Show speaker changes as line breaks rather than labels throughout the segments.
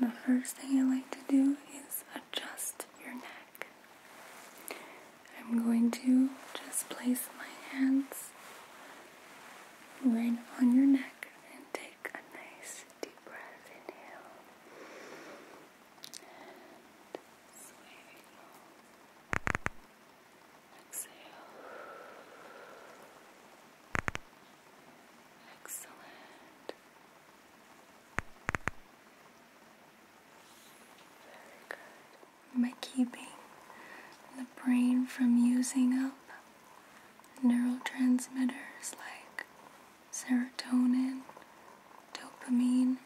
the first thing I like to do is adjust your neck. I'm going to just place my hands right on your neck and take a nice deep breath inhale. Exhale. Excellent. Very good. By keeping the brain from using up neurotransmitters like serotonin, dopamine,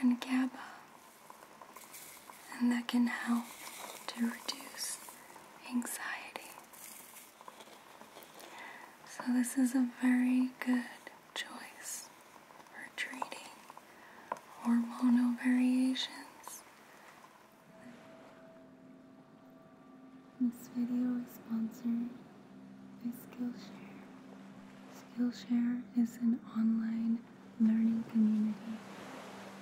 and GABA, and that can help to reduce anxiety so, this is a very good choice for treating hormonal variations. This video is sponsored by Skillshare. Skillshare is an online learning community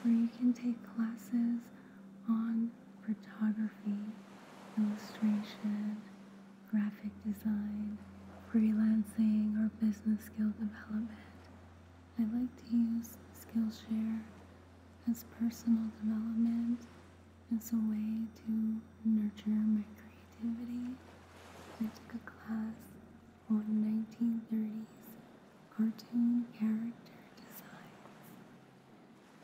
where you can take classes on photography, illustration, graphic design, freelancing, or business skill development. I like to use Skillshare as personal development as a way to nurture my creativity. I took a class on 1930s cartoon character designs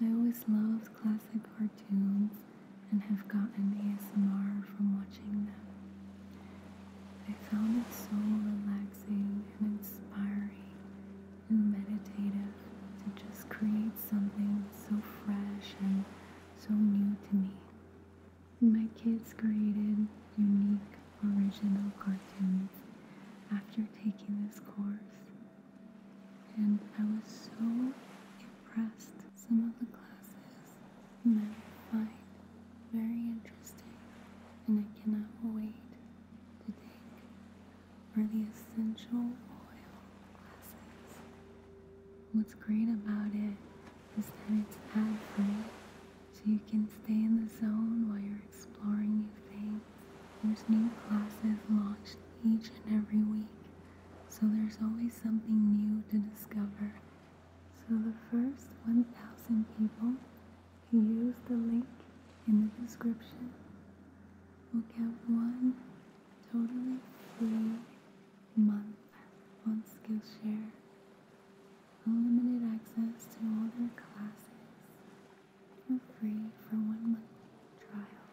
I always loved classic cartoons and have gotten ASMR from watching them. I found it so relaxing and inspiring and meditative to just create something so fresh and so new to me. My kids created unique, original cartoons after taking this course, and I was so impressed. Some of the classes I find very interesting, and I cannot wait to take for the essential oil classes. What's great about it is that it's ad free, so you can stay in the zone while you're exploring new things. There's new classes launched each and every week, so there's always something new to discover. So the first 1,000 people who use the link in the description will get one totally free month on Skillshare. Unlimited access to all their classes for free for one month trial.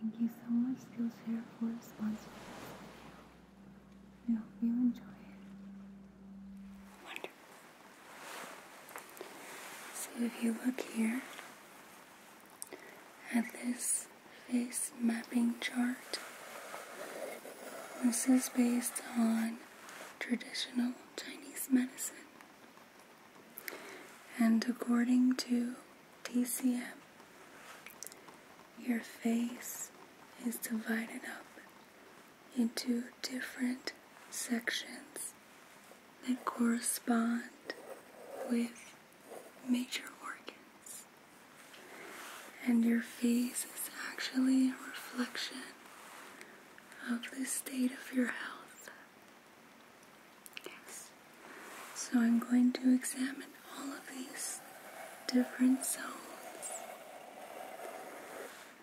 Thank you so much, Skillshare, for sponsoring this I hope you enjoy it. So if you look here at this face mapping chart, this is based on traditional Chinese medicine. And according to TCM, your face is divided up into different sections that correspond with major organs. And your face is actually a reflection of the state of your health. Yes. So I'm going to examine all of these different zones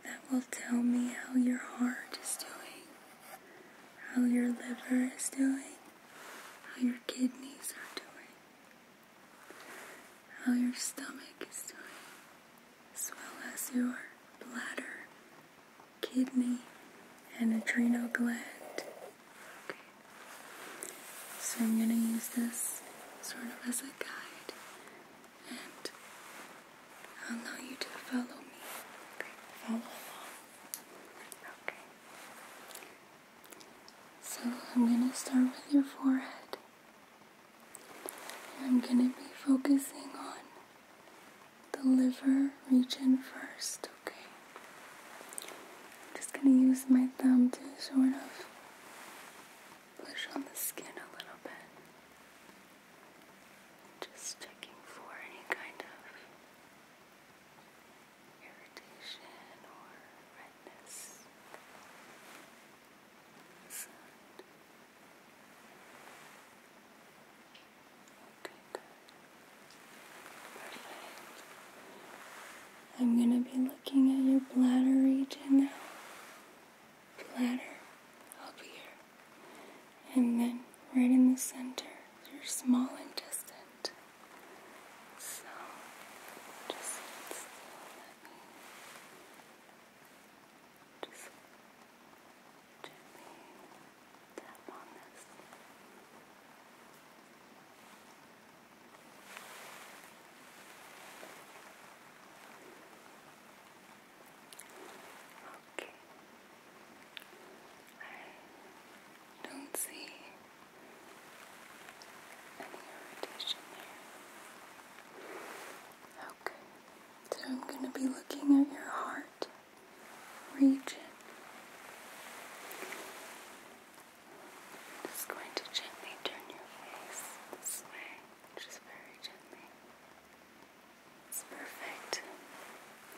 that will tell me how your heart is doing, how your liver is doing, how your kidneys are doing, how your stomach is doing, as well as your bladder kidney, and adrenal gland. So I'm going to use this sort of as a guide, and allow you to follow me. Follow along. Okay. So I'm going to start with your forehead. I'm going to be focusing on the liver region first, okay? I'm just gonna use my thumb to sort of push on the skin a little bit. Just checking for any kind of irritation or redness. Okay, good. I'm going to be looking at your bladder region now. Bladder up here. And then right in the center, your small intestine. So, just let me just gently Okay. I don't see any irritation there. Okay. So I'm going to be looking at your heart region. Just going to gently turn your face this way, just very gently. It's perfect.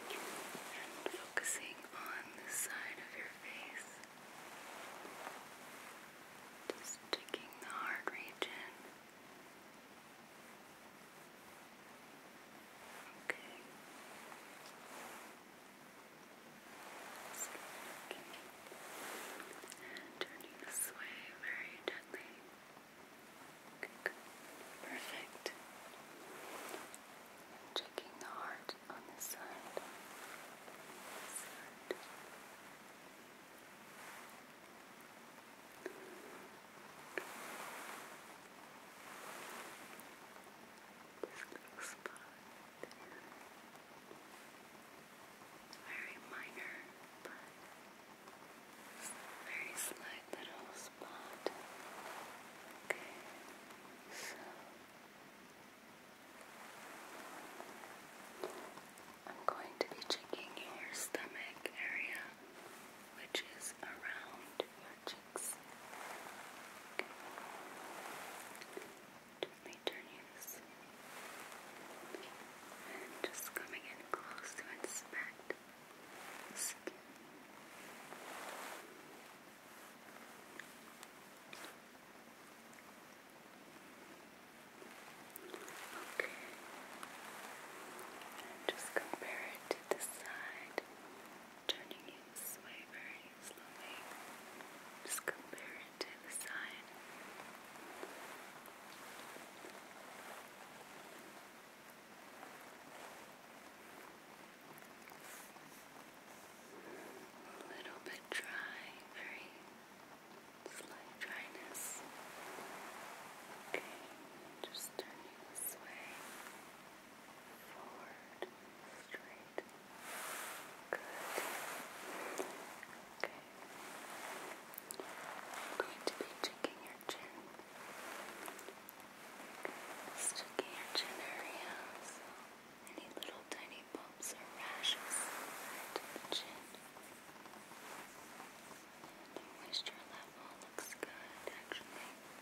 And focusing on the side of your face. Just taking the heart region. Okay. Just keep Turning this way very gently. Perfect. Checking the heart on this side. This this little spot. Very minor, but very slight little spot. Okay, so I'm going to be checking your stomach area, which is around your cheeks. Gently turning just coming in close to inspect Okay. just compare it to the side turning it this way very slowly. Just compare it to the side. A little bit dry, very slight dryness. Okay, just turning this way, forward, straight. Good. Okay. I'm be checking your chin. checking your chin area. any little tiny bumps or rashes to the chin. the moisture level looks good actually.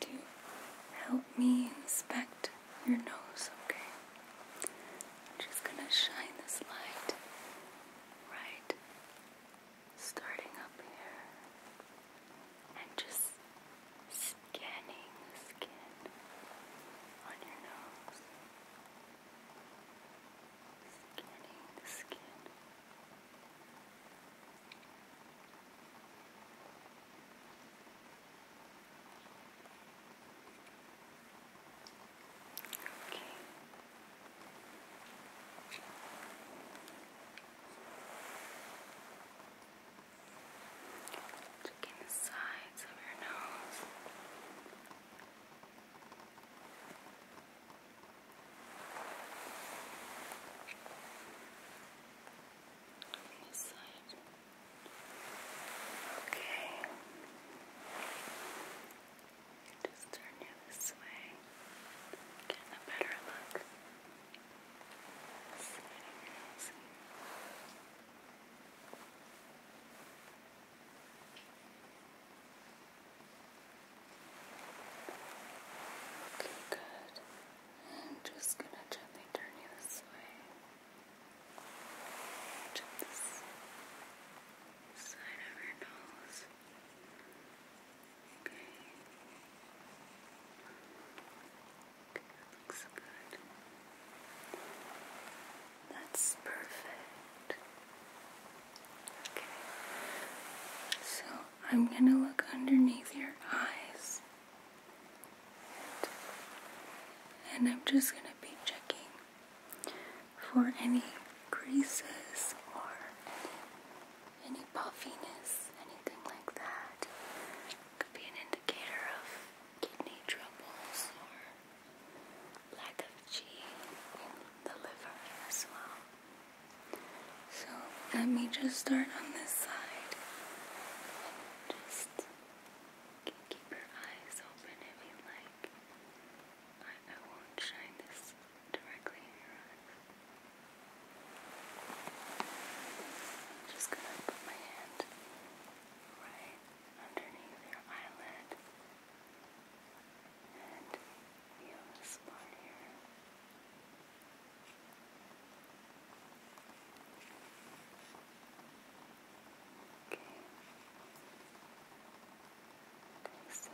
to help me inspect your nose, okay? I'm just gonna shine this light right starting up here and just scanning the skin on your nose. Scanning the skin. Okay. Checking the sides of your nose. Okay this side. Okay. Just turn you this way. Getting a better look. Sliding your Okay, good. And just gonna gently turn you this way. Tip this side of your nose. Okay. okay looks good. That's perfect. Okay. So I'm gonna look underneath your eyes. And I'm just going to be checking for any creases or any, puffiness, anything like that. Could be an indicator of kidney troubles or lack of G in the liver as well. So let me just start on this side just keep your eyes open if you like. I, I won't shine this directly in your eyes. I'm just gonna put my hand right underneath your eyelid and feel this part here. Okay. Take some.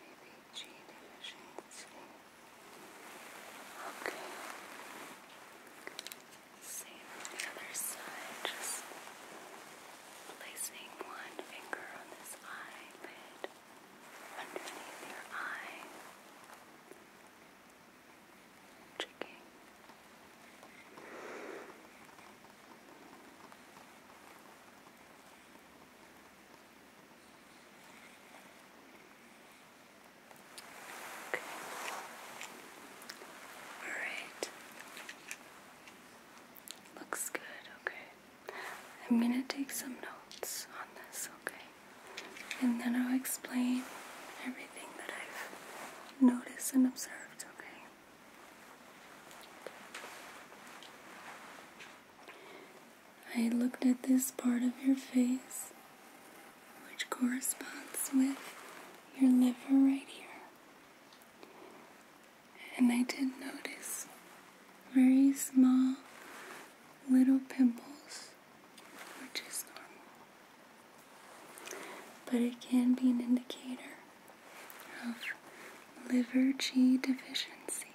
Maybe G deficiency. Okay. Same the other side, just placing one finger on this eyelid underneath your eye, checking. Okay. All right. Looks good, okay. I'm gonna take some notes on this, okay? And then I'll explain everything that I've noticed and observed, okay? I looked at this part of your face, which corresponds with your liver right here. And I did notice very small little pimples, which is normal. But it can be an indicator of liver G deficiency,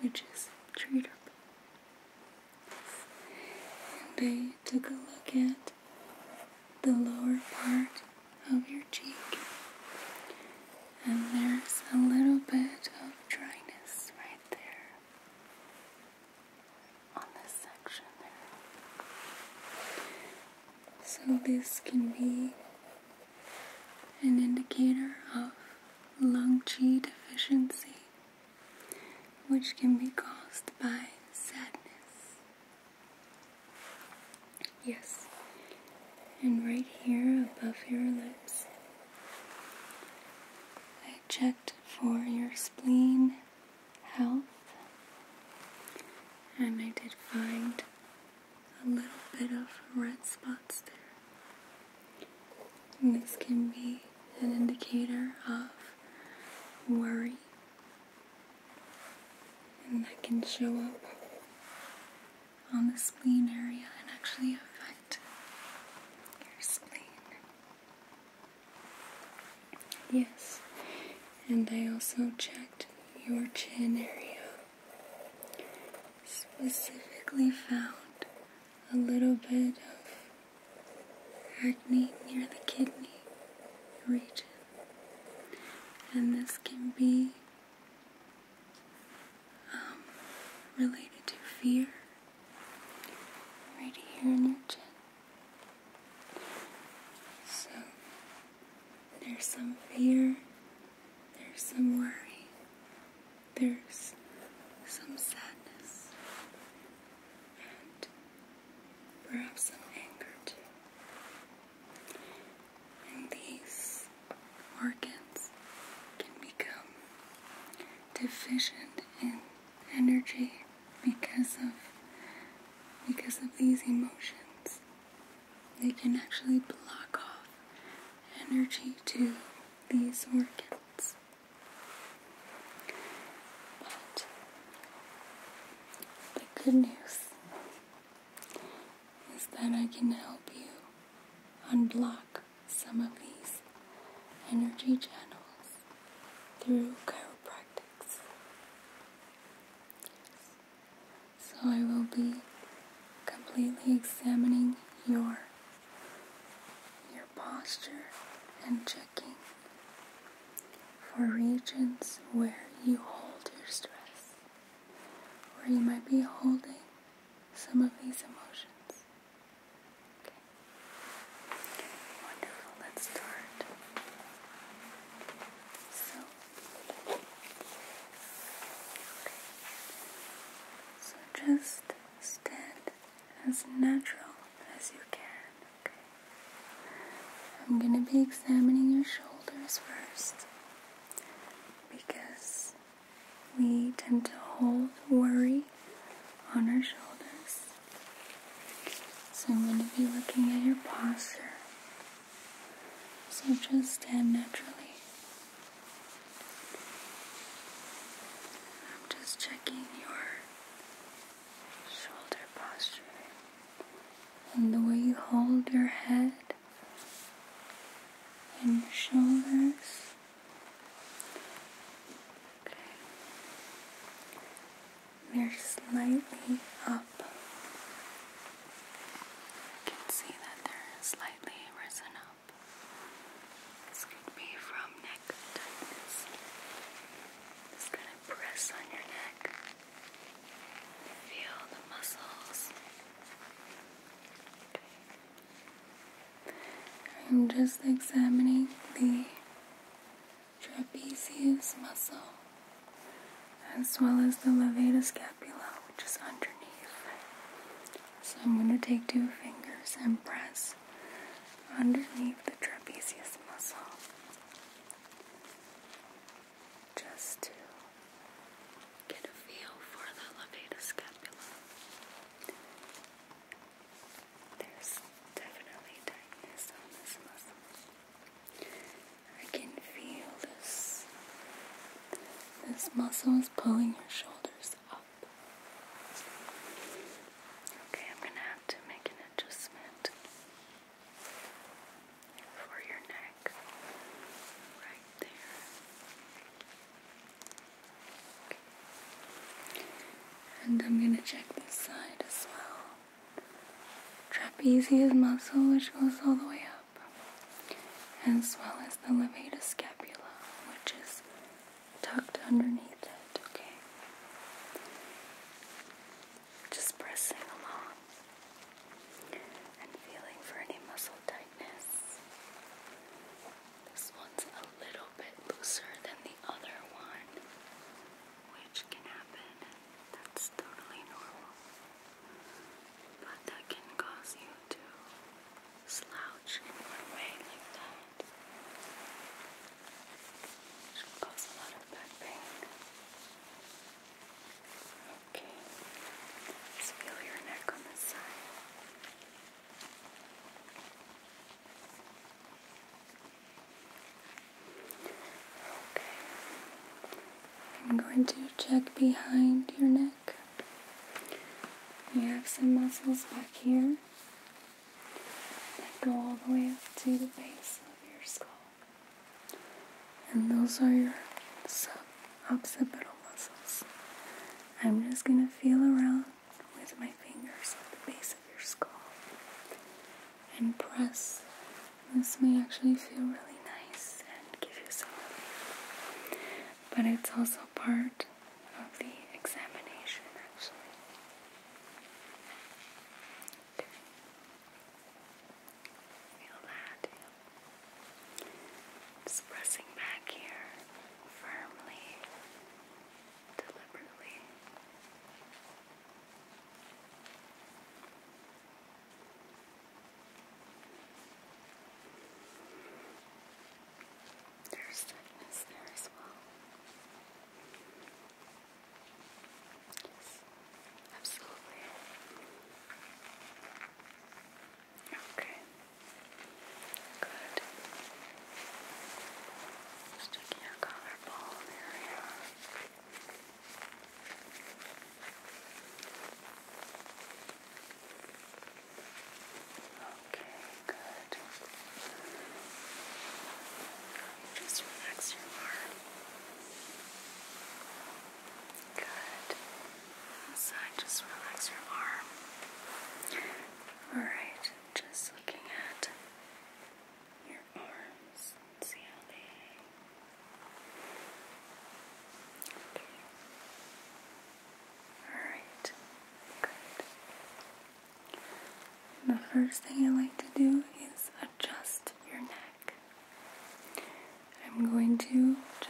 which is treatable. And I took a look at the lower part of your cheek and there's a little bit of dryness right there on this section there. So, this can be an indicator of lung G deficiency, which can be caused by sadness. Yes, and right here above your lips, I checked for your spleen health and I did find a little bit of red spots there. And this can be an indicator of worry and that can show up on the spleen area and actually affect your spleen. Yes, and I also checked your chin area. Specifically, found a little bit of acne near the kidney region, and this can be um, related to fear, right here in your chin. So, there's some fear, there's some worry, there's some sadness, and perhaps some anger too. And these organs can become deficient in energy because of because of these emotions. They can actually block off energy to these organs. But the good news is that I can help you unblock some of these energy channels through chiropractics. So I will be completely examining your your posture and checking for regions where you hold your stress, where you might be holding some of these emotions. Okay. Wonderful. Let's start. So, so just stand as natural as you can. Okay. I'm going to be examining your shoulders first because we tend to hold worry on our shoulders. So I'm going to be looking at your posture. So just stand naturally. I'm just checking your shoulder posture and the way you hold your head and your shoulders they're slightly up. You can see that they're slightly risen up. This could be from neck tightness. Just gonna press on your neck. Feel the muscles. I'm just examining the trapezius muscle as well as the levator scapula, which is underneath. So I'm going to take two fingers and press underneath the trapezius muscle just to get a feel for the levator scapula. There's definitely tightness on this muscle. I can feel this. This muscle is pulling your shoulders up. Okay, I'm gonna have to make an adjustment for your neck right there. And I'm gonna check this side as well. Trapezius muscle, which goes all the way up, as well as the levator scapula, which is tucked underneath it, okay? Just pressing along and feeling for any muscle tightness. This one's a little bit looser than the other one, which can happen. That's totally normal. But that can cause you to slouch in one way like that, which will a lot of back pain. Okay, feel your neck on this side. I'm going to check behind your neck. You have some muscles back here that go all the way up to the base of your skull. And those are your sub occipital muscles. I'm just going to feel around with my fingers at the base of your skull and press. This may actually feel really nice and give you some relief, but it's also part of the examination actually. Feel that. Just pressing back here firmly deliberately. There's thickness there as well. Yes, absolutely. Okay. Good. Just your collarbone area. Okay, good. Just relax your arm. Good. Side, just relax your arm. All right. Just looking at your arms and see how they hang. Okay. Alright, good. the first thing I like to do is adjust your neck. I'm going to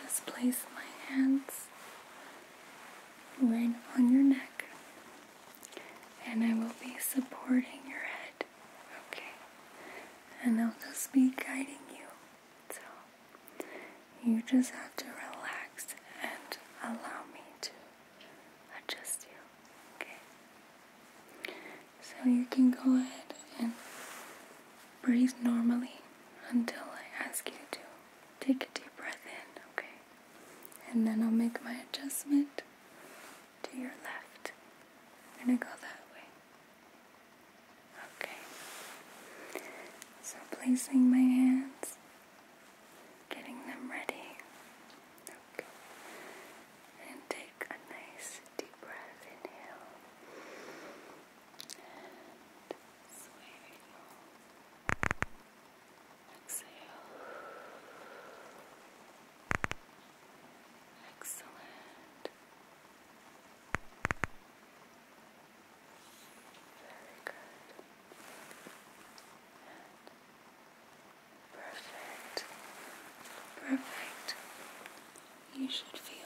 just place my hands line on your neck, and I will be supporting your head. Okay, and I'll just be guiding you. So you just have to relax and allow me to adjust you. Okay, so you can go ahead and breathe normally until I ask you to. Take a deep breath in, okay? and then I'll make my adjustment to your left. I'm gonna go that way. Okay. So placing my hands, getting them ready. Okay. And take a nice deep breath inhale. And Exhale. Excellent. Very good. perfect. Perfect. You should feel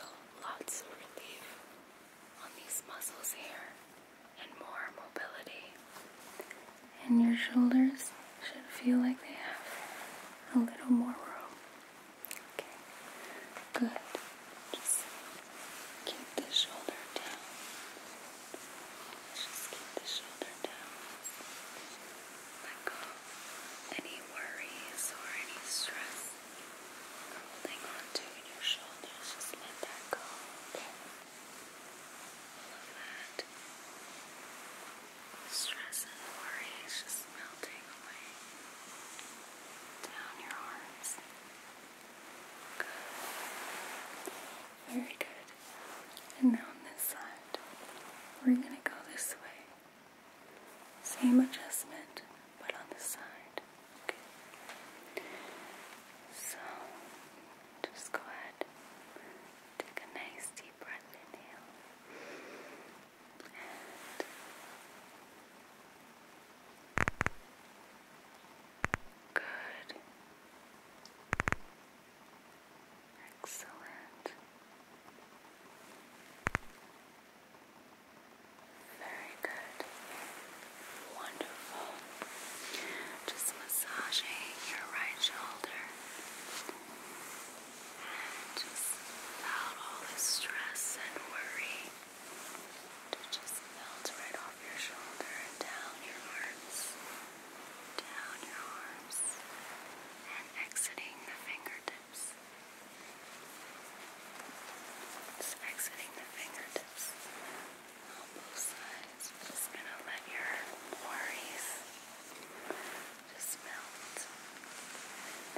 lots of relief on these muscles here and more mobility. And your shoulders should feel like they have a little more room. Okay, good. Just keep the shoulder down. Just keep the shoulder down. Let go any worries or any stress holding on to your shoulders. Just let that go. Okay that stress and worry just melting away down your arms. Good. Very good. And now on this side, we're going to go this way. Same adjustment, but on the side. Okay. So just go ahead, take a nice deep breath inhale Good. Excellent. Very good. Wonderful. Just massaging your right shoulder and just out all the stress and worry to just melt right off your shoulder down your arms, down your arms, and exiting the fingertips. Just exiting the fingertips on both sides. I'm just gonna let your worries just melt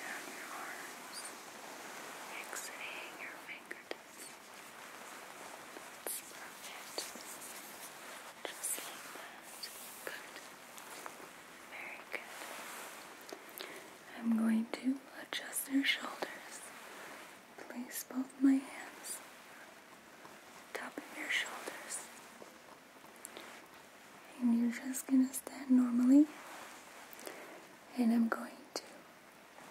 down your arms, exiting your fingertips. perfect. Just like that. Good. Very good. I'm going to adjust your shoulders. Place both my hands top of your shoulders. And you're just gonna stand normally. And I'm going to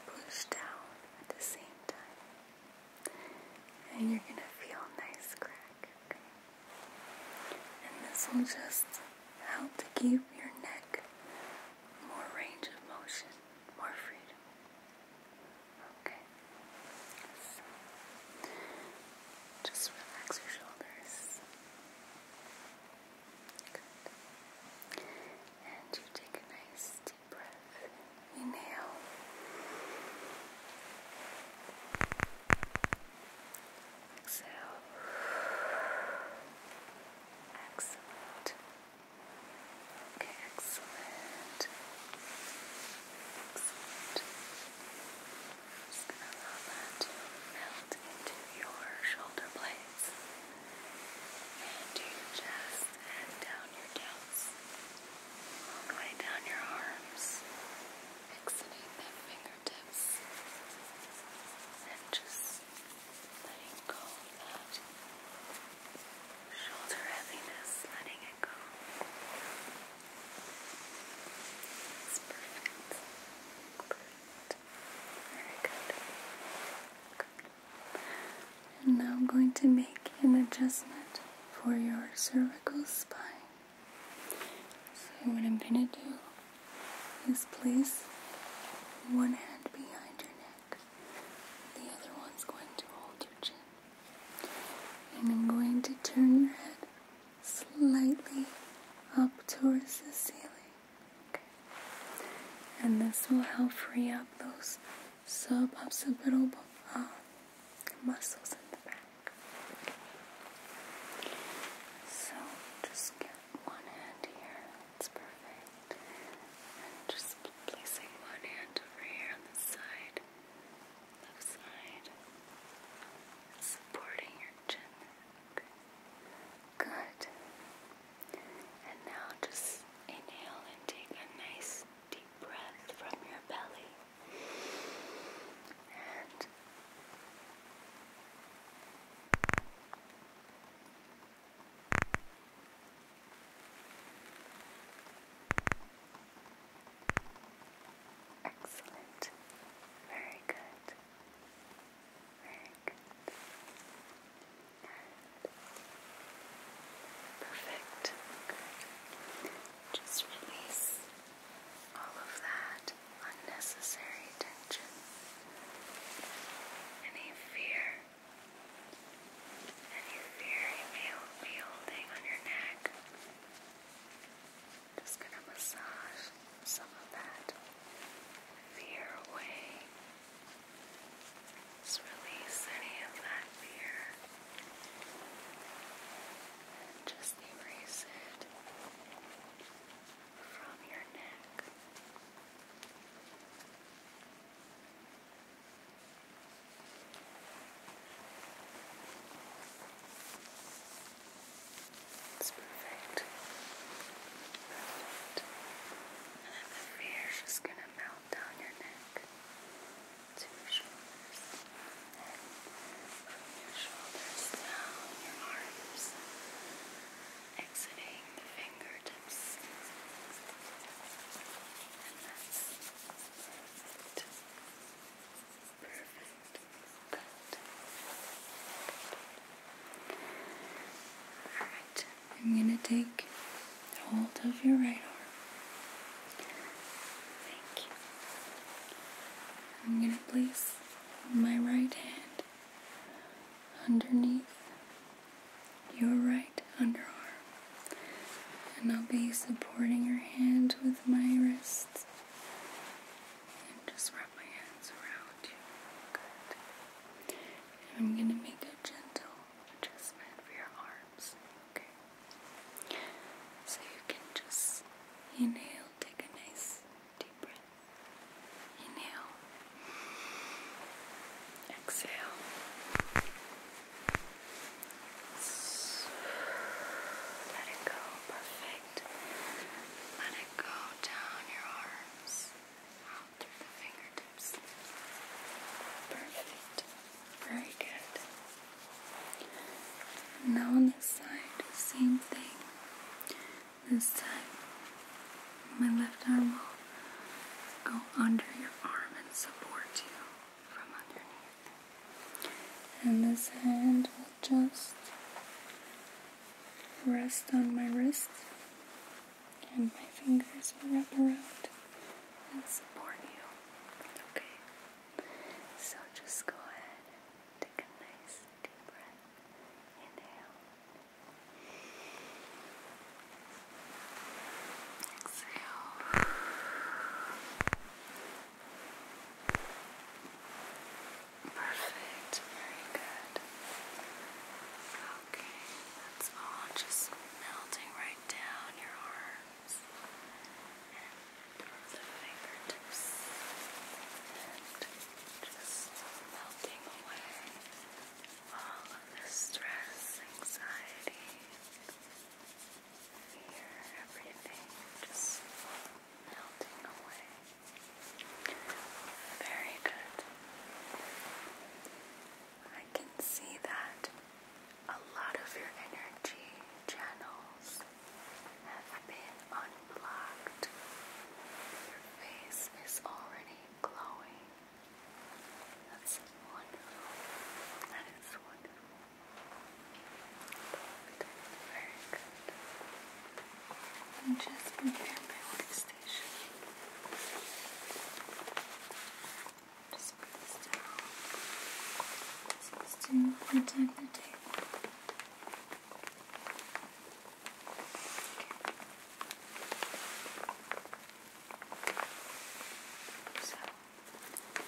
push down at the same time. And you're gonna feel nice crack. Okay? And this will just help to give your neck more range of motion, more freedom. Okay. just relax your shoulders. Good. And you take a nice deep breath. Inhale. Exhale. Excellent. Okay, excellent. Excellent. Just gonna allow that to melt into your shoulder blades and your chest and down your delts, all the way down your arms, exiting the fingertips, and just letting go of that shoulder heaviness, letting it go. perfect. Perfect. Very good. good. And now I'm going to make an adjustment for your cervical spine. So what I'm going to do is place one hand behind your neck. The other one's going to hold your chin and I'm going to turn your head slightly up towards the ceiling. Okay. And this will help free up those suboccipital uh, muscles in the back. So just get one hand here. That's perfect. And just placing one hand over here on the side left side, supporting your chin. Good. And now just inhale and take a nice deep breath from your belly. And Excellent. Very good. Very good. perfect. Just release all of that unnecessary tension. Any fear. Any fear you may be holding on your neck. Just going to massage some of that fear away. Just release any of that fear. just erase it from your neck. It's perfect. And the fear is just gonna melt down your neck to your shoulders. from your shoulders down your arms. Exiting the fingertips. And that's perfect. Perfect. Good. Alright, I'm going to take hold of your right arm. Thank you. I'm going to place my right hand underneath your right underarm. And I'll be supporting your hand with my wrists. And just wrap my hands around you. Good. I'm going to make a gentle adjustment for your arms. Okay. So you can just inhale, take a nice deep breath. Inhale. Exhale. Let it go, perfect. Let it go down your arms, out through the fingertips. Perfect. Very good. Now on this side, same thing. This time, my left arm will go under your arm and support you. And this hand will just rest on my wrist, and my fingers will wrap around and support you. Okay? So just go ahead and take a nice deep breath. Inhale. Exhale. Perfect, very good. Okay, that's all just melting right down your arms and the fingertips and just melting away all of the stress, anxiety. Here, everything just melting away. Very good. I can see that a lot of your energy channels have been unblocked. Your face is already glowing. That's wonderful. That is wonderful just prepare my workstation. Just put this down. Just to protect the table. So.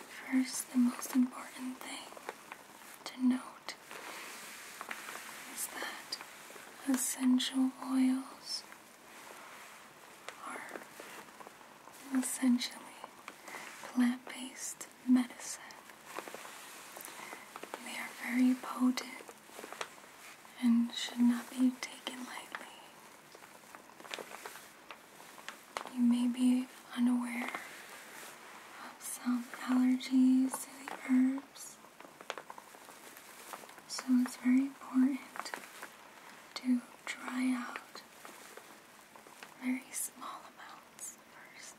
First, the most important thing to note is that essential oils are essentially plant based medicine. They are very potent and should not be taken lightly. You may be unaware of some allergies to the herbs, so it's very important to try out very small amounts first.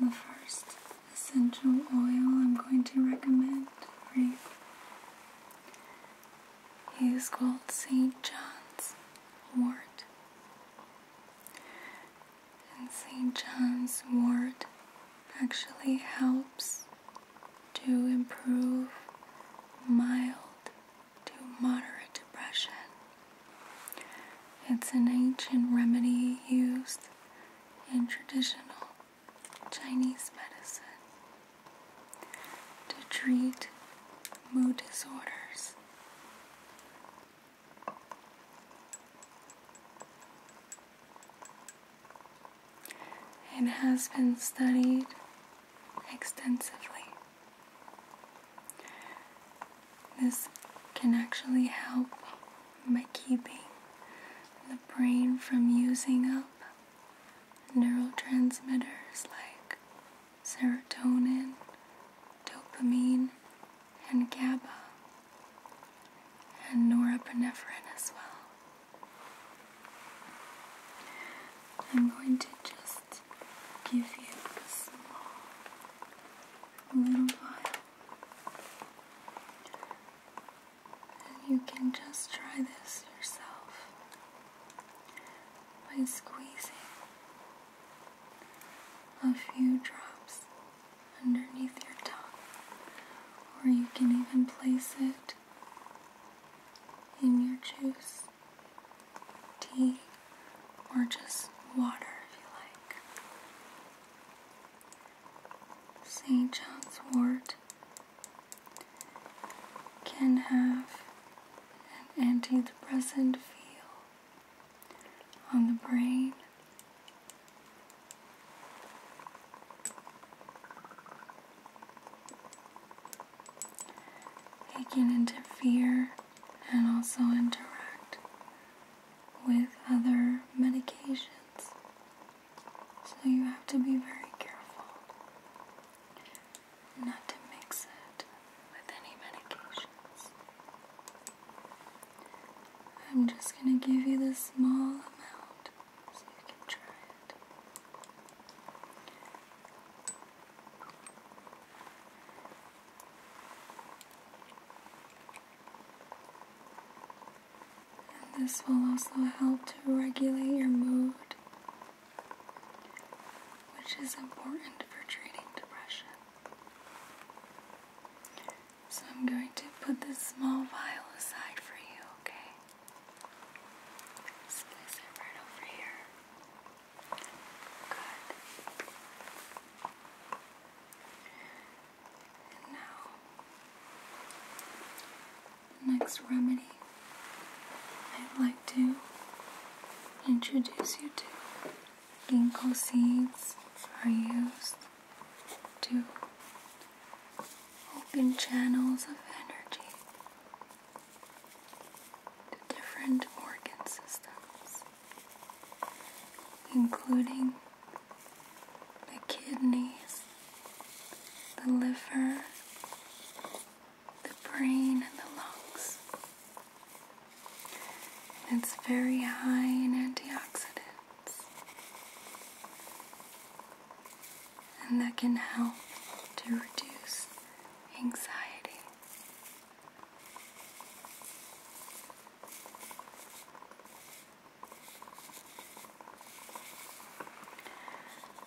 The first essential oil I'm going to recommend for you he called St. John's Wort, And St. John's Wort actually helps to improve mild to moderate depression. It's an ancient remedy used in traditional Chinese medicine to treat mood disorders. It has been studied extensively. This can actually help by keeping the brain from using up neurotransmitters like serotonin, dopamine, and GABA, and norepinephrine as well. I'm going to just give you a small little vial. And you can just try this yourself by squeezing a few drops underneath your tongue, or you can even place it in your juice, tea, or just water if you like. St. John's wort can have an antidepressant feel on the brain. It can interfere and also interact with other medications. So you have to be very careful not to mix it with any medications. I'm just going to give you the small amount so you can try it. And this will also help to regulate your mood which is important for treating depression. So I'm going to put this small vial aside for you, okay? right over here. Good. And now, next remedy I'd like to introduce you to ginkgo seeds are used to open channels of energy to different organ systems, including the kidneys, the liver, the brain and the lungs. it's very high in antioxidants, and that can help to reduce anxiety.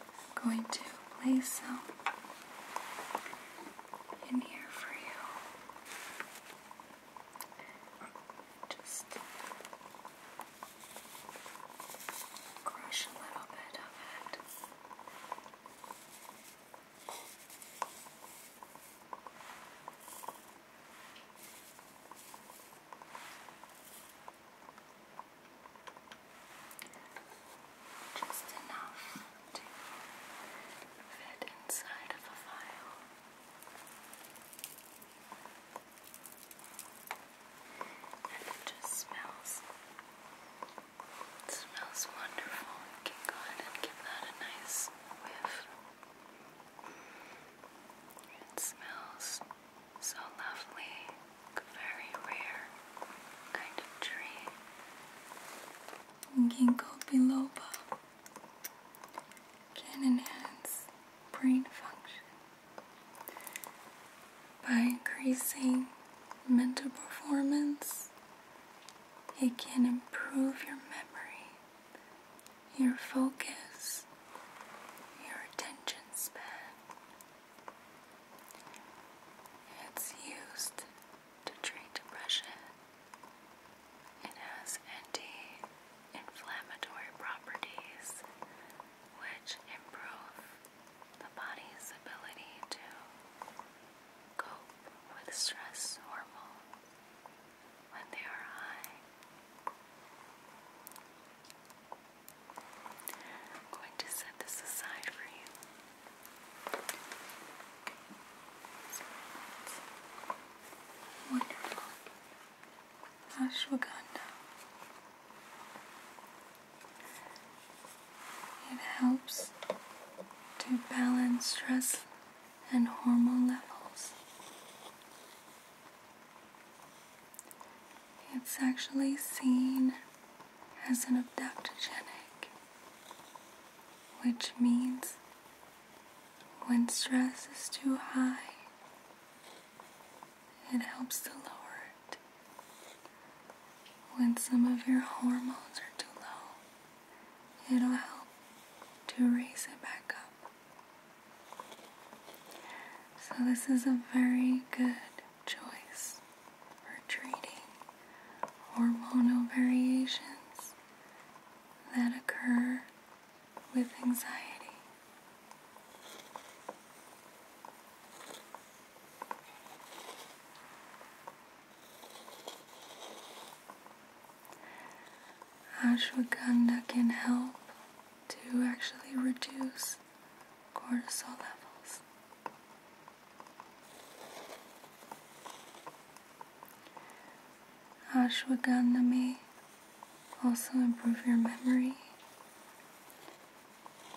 I'm going to place some in here for you. Just crush a little bit of it. Just enough to fit inside of a file. And it just smells. It smells wonderful. You can go ahead and give that a nice whiff. It smells so lovely, very rare kind of tree. Ginkgo biloba can enhance brain function by increasing mental performance. It can improve your memory, your focus, your attention span. It's used to treat depression. It has anti-inflammatory properties which improve the body's ability to cope with stress hormones when they are high. I'm going to set this aside for you. Ashwagandha. It helps to balance stress and hormone levels. It's actually seen as an adaptogenic, which means when stress is too high, it helps to lower it. When some of your hormones are too low, it'll help to raise it back up. So, this is a very good choice. Or treating hormonal variations that occur with anxiety. Ashwagandha can help to actually reduce cortisol levels. Ashwagandha may also improve your memory,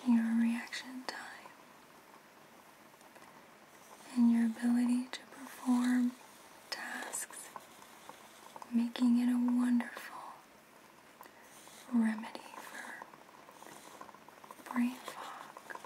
your reaction time, and your ability to perform tasks, making it a wonderful remedy for brain fog.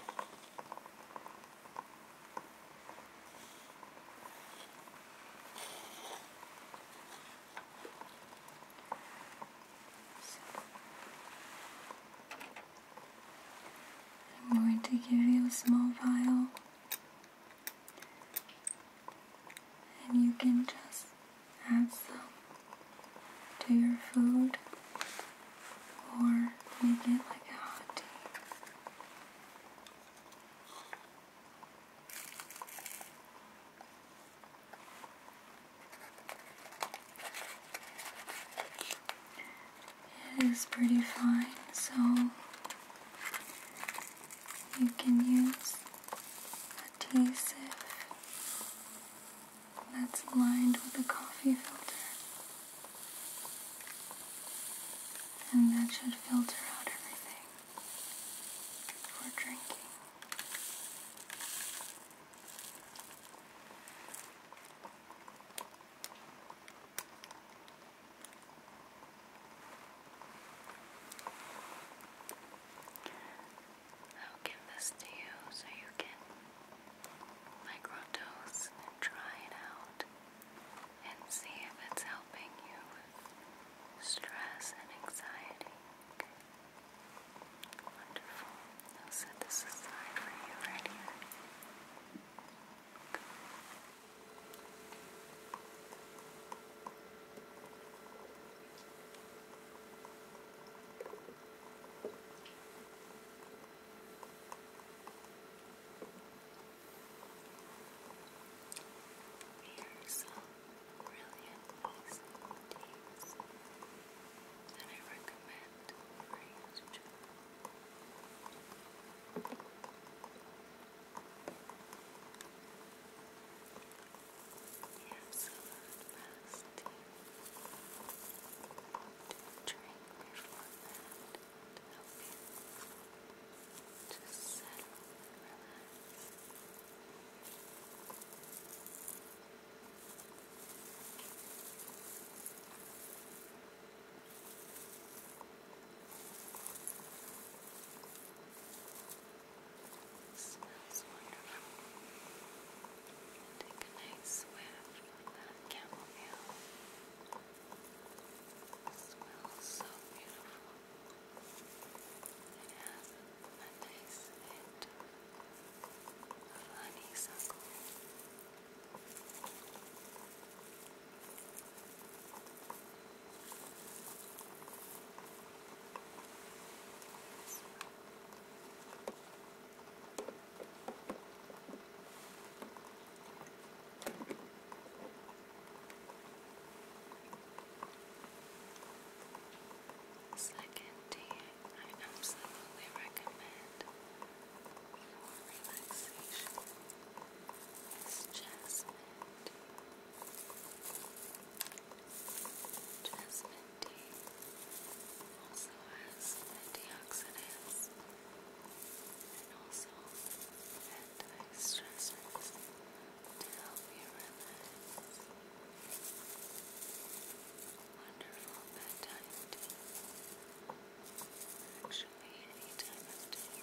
I'm going to give you a small vial, and you can just add some to your food or with it like a hot tea. It is pretty fine, so you can use adhesive that's lined with a coffee filter. And that should filter out everything for drinking. I'll give this to you so you can microdose try it out and see if it's helping you with stress and anxiety. Wonderful. I'll set this aside for you right here. Here's some brilliant awesome teas that I recommend for you to try. The drink before bed to you smells wonderful. Take a nice whiff of that chamomile. It smells so beautiful. It has a nice of honeysuckle. Second tea, I absolutely recommend for relaxation is jasmine tea. tea also has antioxidants and also to help you relax. Wonderful bedtime tea. Actually, any time of day.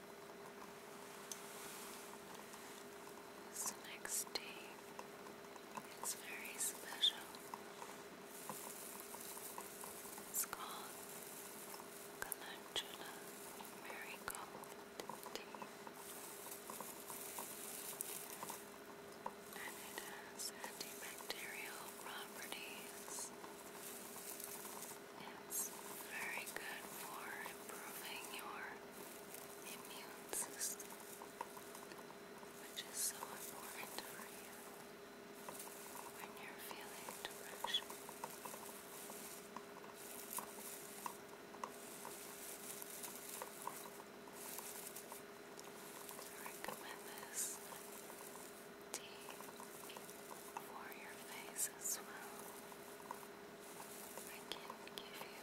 This next day is very special. It's called Calendula Marigold Tea. And it has antibacterial properties. It's very good for improving your immune system, which is so important for you when you're feeling depression. I recommend this tea for your face as well. I can give you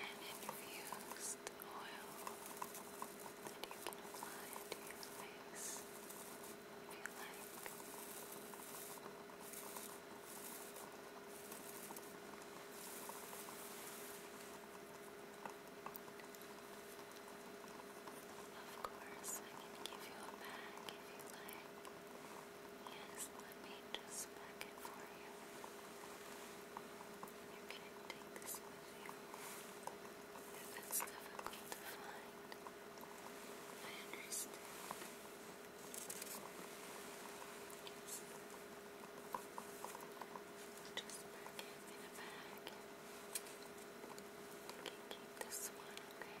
an infused oil that you can apply to your face if you like. Of course, I can give you a bag if you like. Yes, let me just pack it for you. You can take this with you. If it's difficult to find, I understand. Yes. Just pack it in a bag. You can keep this one, okay?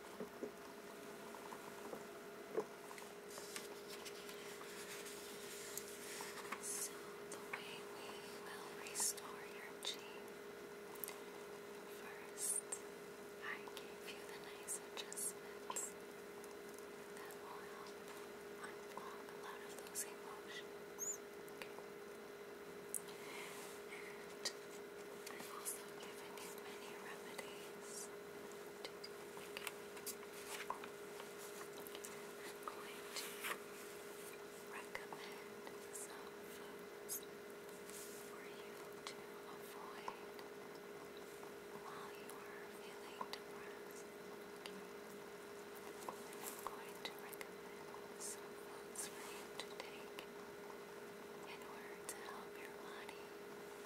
So, the way we will restore your chi first, I gave you the nice adjustments that will help unblock a lot of those emotions. And I've also given you many remedies I'm going to recommend some foods for you to avoid while you are feeling I'm going to recommend some foods for you to take in order to help your body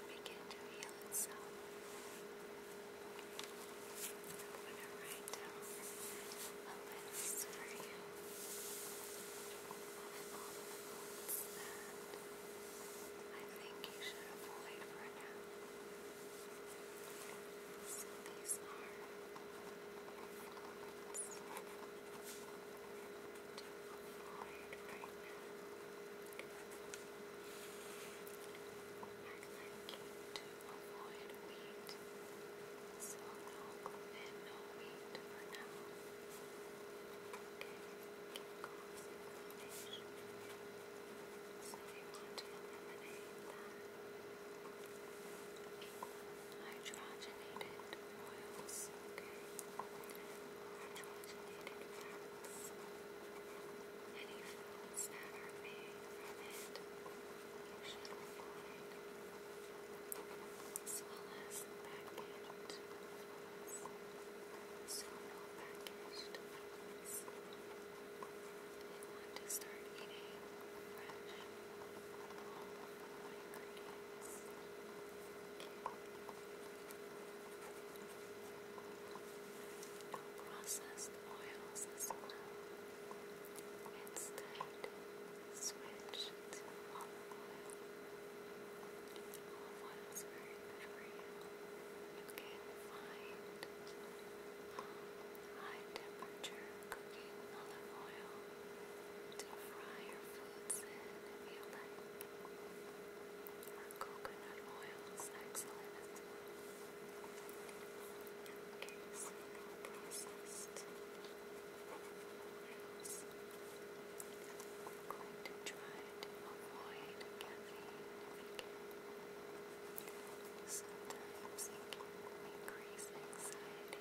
begin to heal itself. I'm going down a list for you of all the foods that I think you should avoid for now. So these are tired right now. I'd like you to avoid wheat, so no gluten, no wheat for now. Okay, chemicals, inflammation. So we want to eliminate that. Equal hydrogenated oils, okay? Hydrogenated fats. Any foods that are made from it, you should avoid. As well want to start eating fresh, whole ingredients processed oils as well. Instead, switch to olive oil. you. can find um, high temperature cooking olive oil to fry your foods in you coconut oil is excellent. Okay, so now processed oils. we try to avoid caffeine Sometimes it can increase anxiety.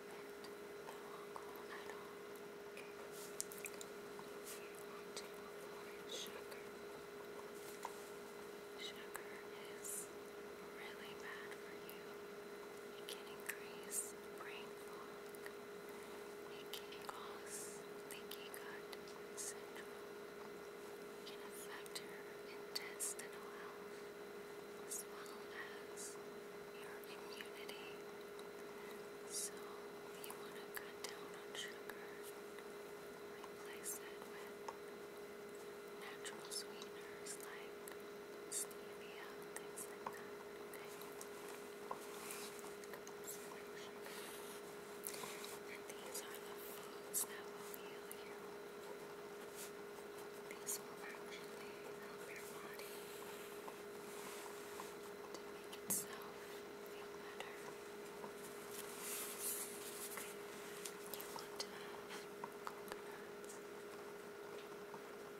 alcohol at all. Okay. You want to avoid sugar. Sugar is really bad for you. It can increase brain fog. It can cause leaky gut syndrome. It can affect your intestinal health as well as your immunity. So you want to cut down on sugar, replace it with natural sweeteners like stevia, things like that. And these are the foods that will heal you. These will actually help your body to make itself feel better. You want to have coconuts.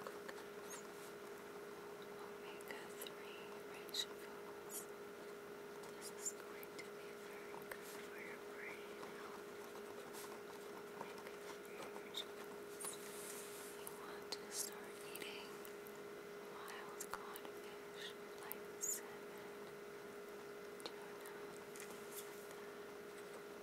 Coconuts. omega This is going be very good for your brain health. You want to start eating wild caught fish like salmon, tuna, things like that. Wild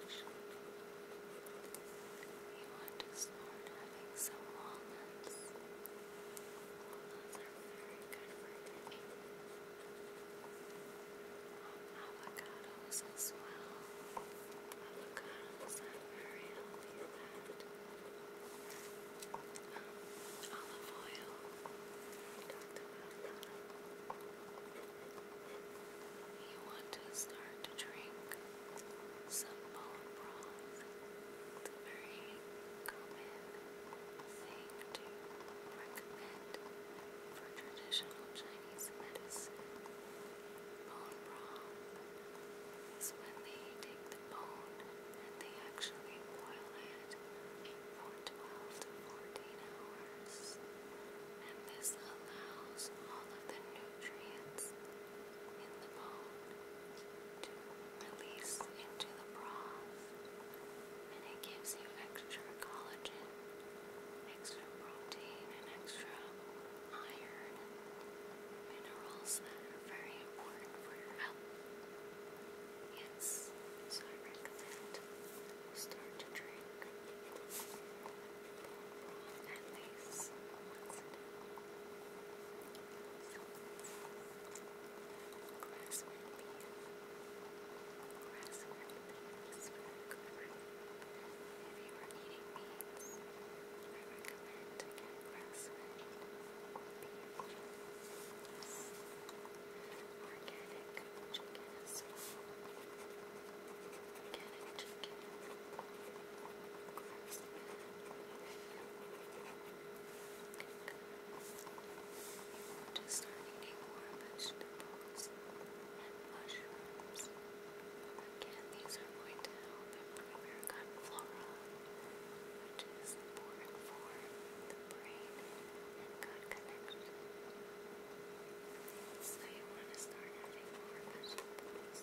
caught fish. You want to start having some walnuts. Walnuts are very good for you. You Avocados as well. Avocados are very healthy um, olive oil. You want to start to drink some bone very common thing to recommend for traditional Chinese medicine. Bone broth is when they take the bone and they actually boil it for 12 to 14 hours. And this allows all of the nutrients in the bone to release into the broth. And it gives you extra collagen extra protein and extra iron, minerals that are very important for your health. Yes, so I start to drink at this will cover. If you are eating meats, I recommend to get grass-fed or beef. Organic chicken as well. Organic chicken. Grass-fed. You want to start eating more vegetables and mushrooms. Again, these are going to help improve your gut flora, which is important for the brain and gut connection. So you want to start having more mushrooms,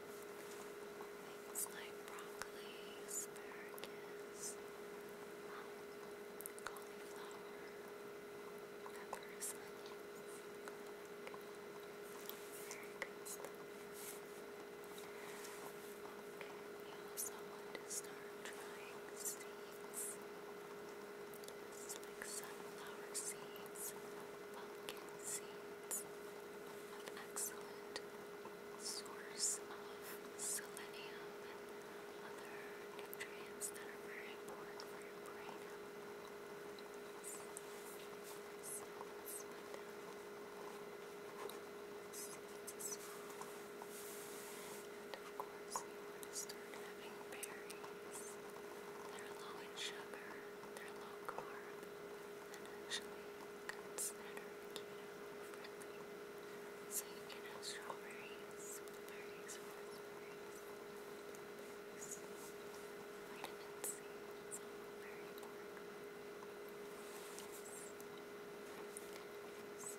Things like broccoli, asparagus, um, cauliflower, peppers, onions, very good stuff. Okay, seeds. sunflower seeds, pumpkin seeds plants excellent source of selenium and other nutrients that are important for your brain. And of course you want to start having berries. They're low in sugar, they're low carb, and actually Consider keto-friendly. So you can have strawberries, berries, raspberries, vitamin C is all very important. Yes.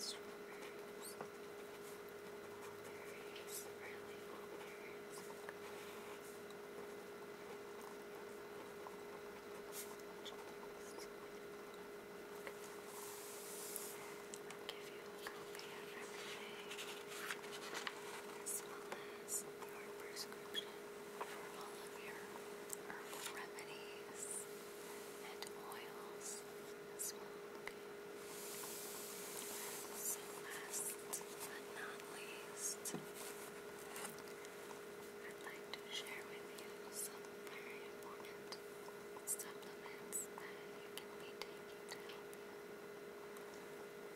So I'm going to put strawberries, blueberries, really blueberries. Berries, I'll give you a copy of everything, as well as your prescription for all of your herbal remedies and oils as well. Okay. So last but not least, I'd like to share with you some very important supplements that you can be taking to help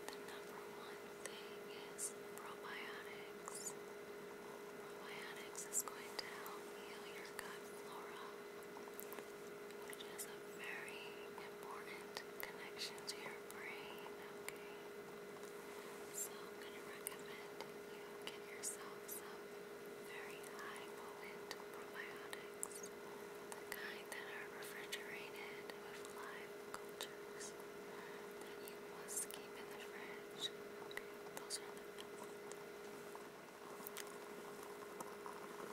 The number one thing is probiotics. Probiotics is going to help heal your gut flora, which is a very important connection to your brain, so I'm going to recommend you give yourself some very high potent probiotics, the kind that are refrigerated with live cultures that you must keep in the fridge. those are the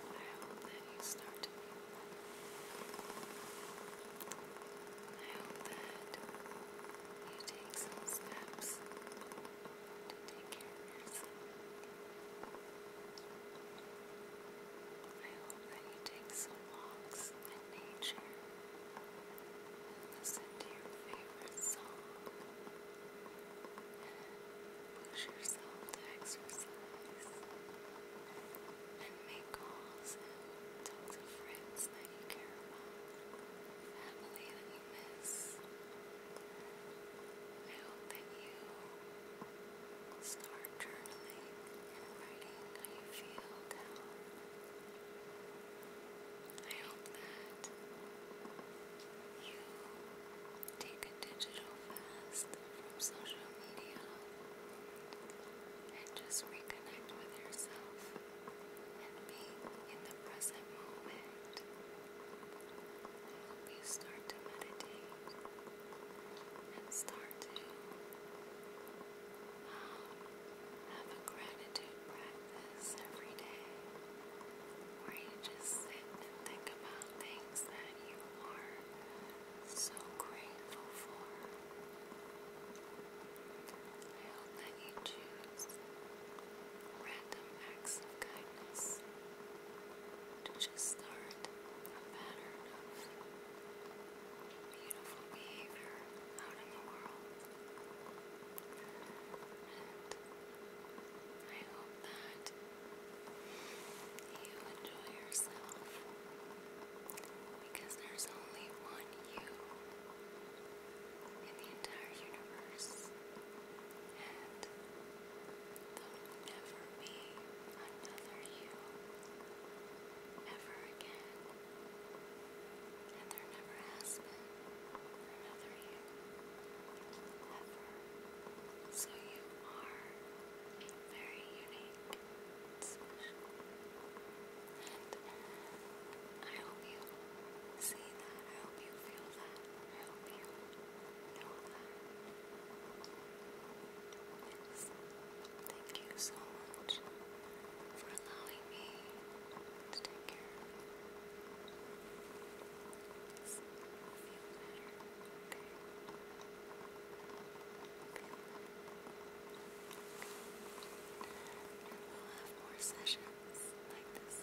I hope that you start to be I hope that you take some steps to take care of yourself. I hope that you take some walks in nature listen to your favorite song push yourself to exercise and make calls and talk to friends time you care about, family that you miss. I hope that you start journaling and writing how you feel down. I hope that you take a digital fast from social media and just reconnect with yourself and being in the present moment will you start to meditate and start to um, have a gratitude practice every day where you just sit and think about things that you are so grateful for. I hope that you choose random acts of kindness to just start a pattern of beautiful behavior out in the world. And I hope that you enjoy yourself because there's only one you in the entire universe, and there'll never be another you ever again, and there never has been another you ever. So you are very unique, I hope you see that. I hope you feel that. I hope you know that. Yes. Thank you so much for allowing me to take care of you. We'll have more sessions like this.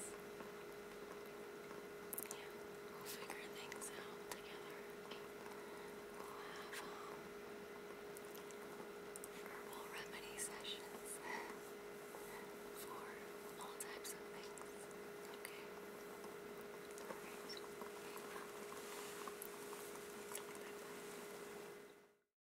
Yeah, we'll figure things out together. We'll have herbal remedy sessions for all types of things. Okay.